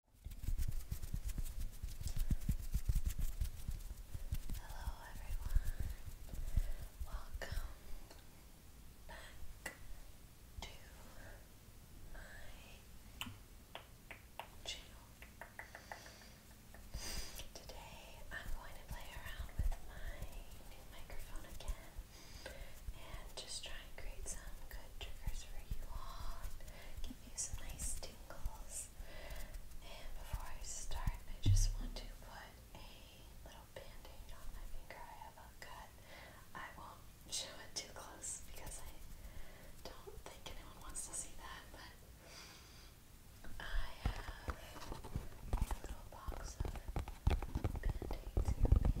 Hello everyone, welcome back to my channel. Today I'm going to play around with my new microphone again and just try and create some good triggers for you all give nice tingles. And before I start, I just want to put a little band on my finger. I have a cut. I won't show it too close because I don't think anyone wants to see that, but I have a little box of band aids and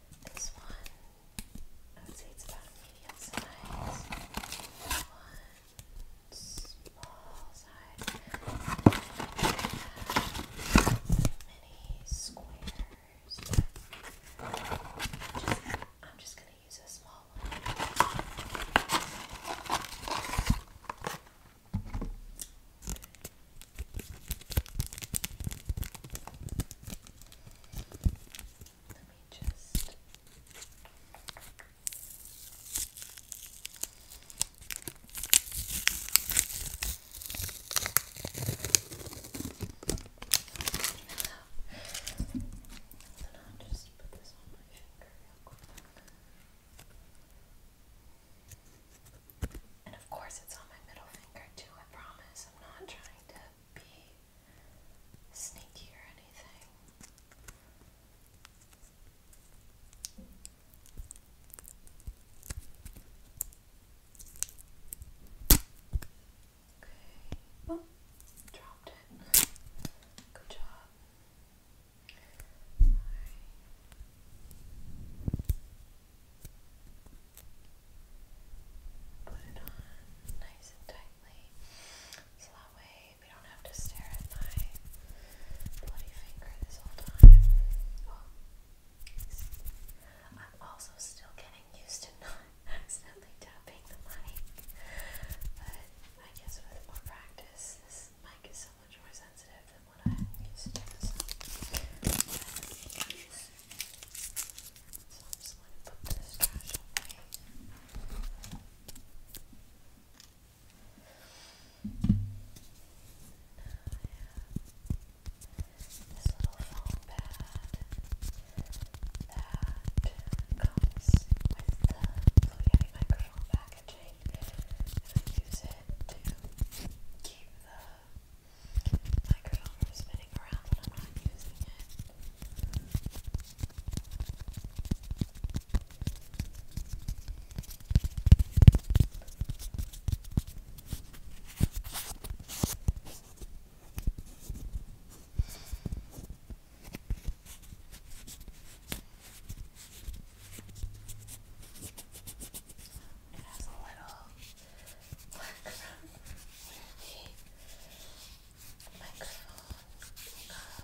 This one, I would say it's about medium size. One small size. Many squares. I'm just, gonna use a small one. Let me just so now just put this on my finger real quick. And of course, it's on my middle finger too, I promise. I'm not trying to be sneaky or anything. Okay. Oh, dropped it. Good job. Put it on nice and tightly so that way we don't have to stare at my bloody finger this whole time. Oh, I'm also still getting used to not accidentally tapping the mic, but I guess with more practice, this mic is so so much more sensitive than what I used to use. So I'm just going to put this trash away. Now I have this little foam pad that comes with the Blue oh Yeti microphone packaging, and I use it to keep the microphone from spinning around when I'm not using it. I it has a little background where the microphone uh, top but it feels really nice.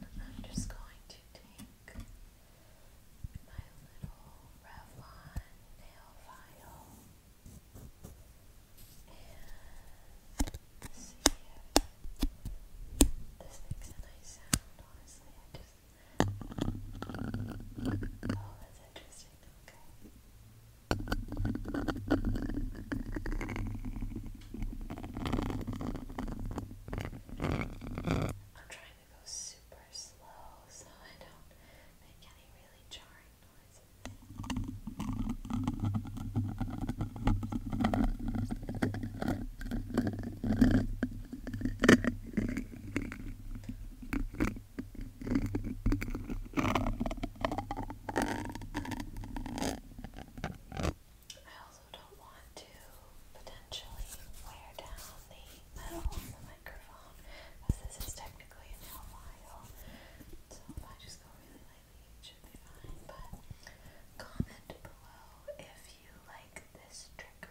And then I'm just going to take my little Revlon nail file and this makes a nice sound. Honestly, I just. Oh, that's interesting. Okay. I'm trying try to go super slow so I don't make any really jarring noises. I also don't want to potentially wear down the metal of the microphone because this is technically an l So if I just go really lightly, it should be fine. But comment below if you like this trick.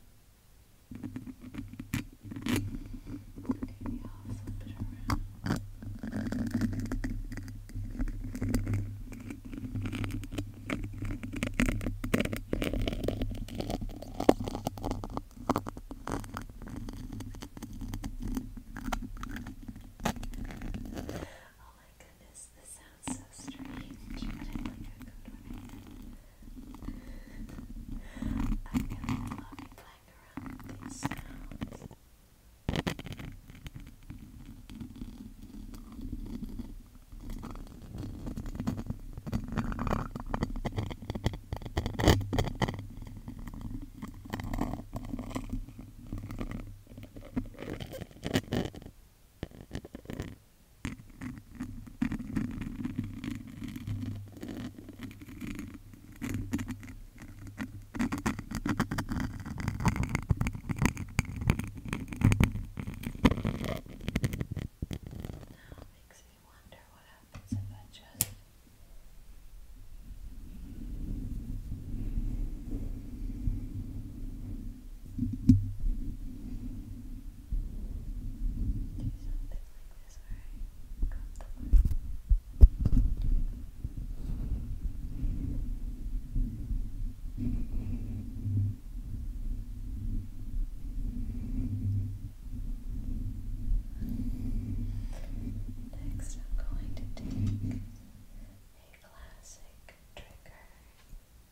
Maybe I'll flip it around. Oh my goodness, this. This sounds so strange, but I like a good one. I really love playing around with these sounds. I now it makes me wonder what happens if I just this very comfortable. Next, I'm going to take a classic trigger. And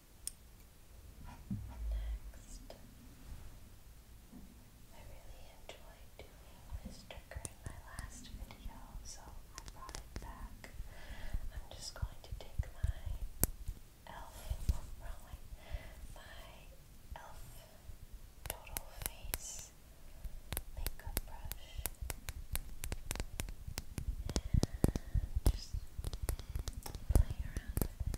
Next, I really enjoyed doing this in my last video, so I brought it back. I'm just going to take my elf, probably, my elf total face makeup brush and just play around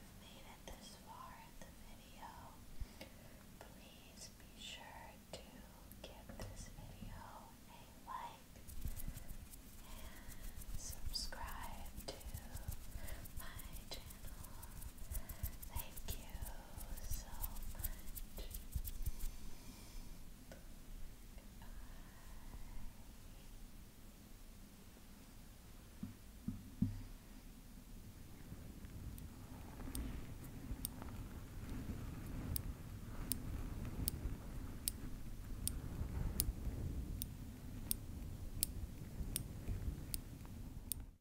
you made it this far in the video, please be sure to give this video a like and subscribe to my channel. Thank you so much. Bye.